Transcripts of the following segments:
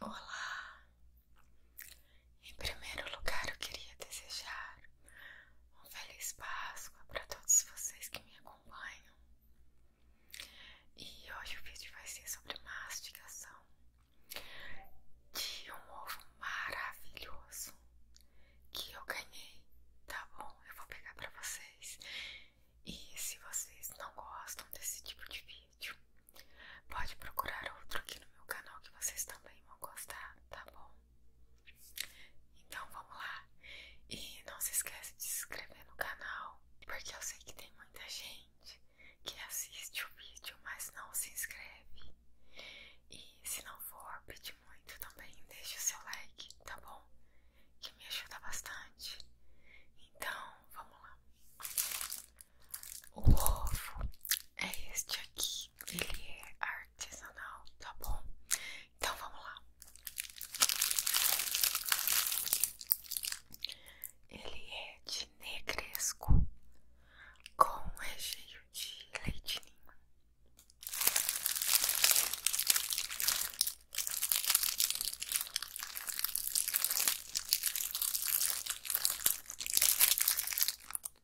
Olá! Em primeiro lugar, eu queria desejar um feliz Páscoa para todos vocês que me acompanham. E hoje o vídeo vai ser sobre mastigação de um ovo maravilhoso que eu ganhei, tá bom? Eu vou pegar para vocês. E se vocês não gostam desse tipo de vídeo, pode procurar outro aqui no meu canal que vocês também vão gostar, tá bom? Então vamos lá. E não se esquece de se inscrever no canal, porque eu sei que tem muita gente que assiste o vídeo, mas não se inscreve. E se não for pedir muito também, deixa o seu like, tá bom? Que me ajuda bastante. Então, vamos lá. O ovo é este aqui ele é artesanal, tá bom? Então vamos lá. Ele é de negresco com recheio de leite ninho.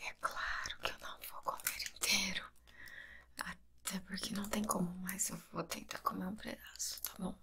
É claro que eu não vou comer inteiro, até porque não tem como, mas eu vou tentar comer um pedaço, tá bom?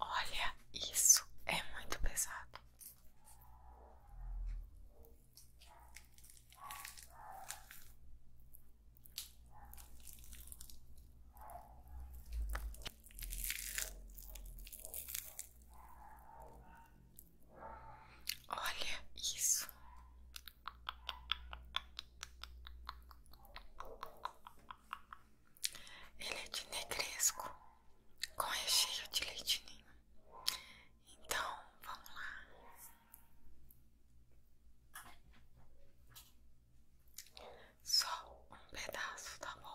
Olha, isso é muito pesado. Olha isso. Ele é de negresco com recheio de leitinho. Então, vamos lá. Só um pedaço, tá bom?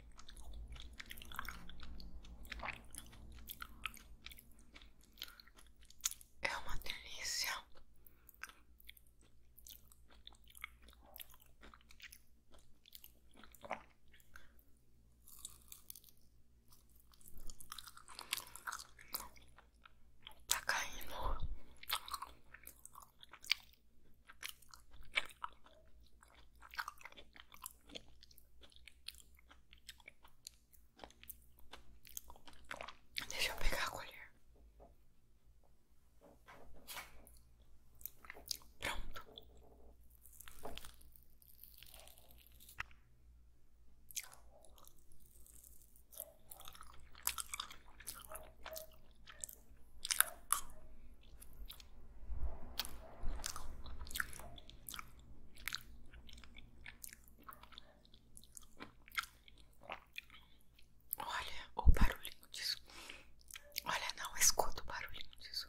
É uma delícia. Tá caindo. Deixa eu pegar a colher. Pronto. Olha o barulhinho disso. Olha, não escuto o barulhinho disso.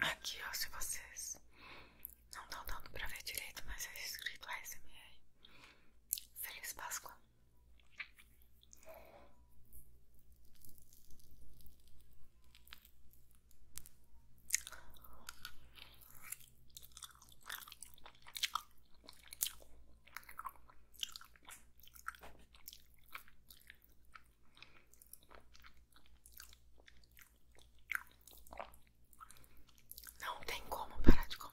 Aqui, ó, se vocês não estão dando pra ver direito, mas é escrito ASMR. Feliz Páscoa! Não tem como parar de comer.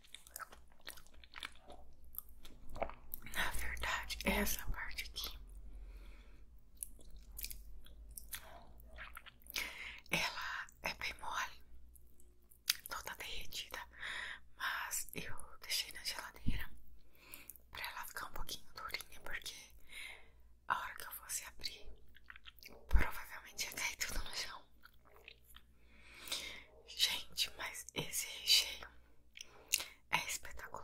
Na verdade, essa parte aqui ela é bem mole, toda derretida, mas eu deixei na geladeira pra ela ficar um pouquinho durinha, porque a hora que eu fosse abrir, provavelmente ia cair tudo no chão. Gente, mas esse recheio é espetacular.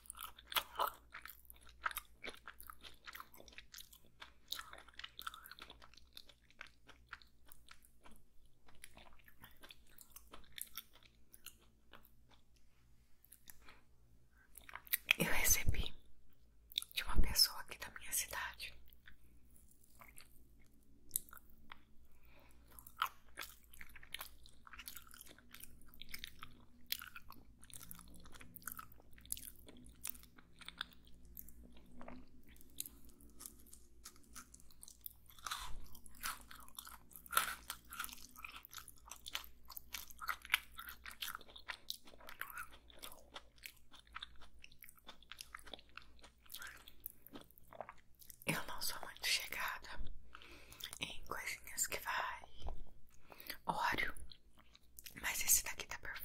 Eu recebi de uma pessoa aqui da minha cidade eu não sou muito chegada em coisinhas que vai óleo, mas esse daqui tá perfeito.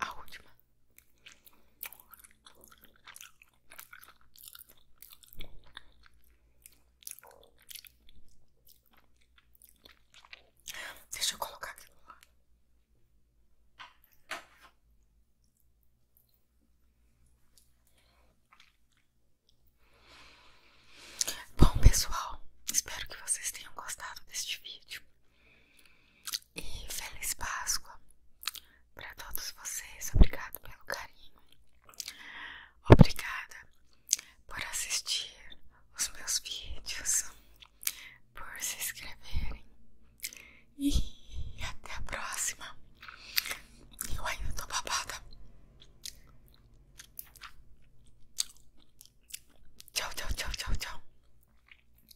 A última. Deixa eu colocar aqui. Bom, pessoal, espero que vocês tenham gostado deste vídeo. E feliz Páscoa para todos vocês. Obrigado pelo carinho. Obrigada por assistir os meus vídeos, por se inscreverem. E até a próxima. Eu ainda tô babada. Tchau, tchau, tchau, tchau, tchau.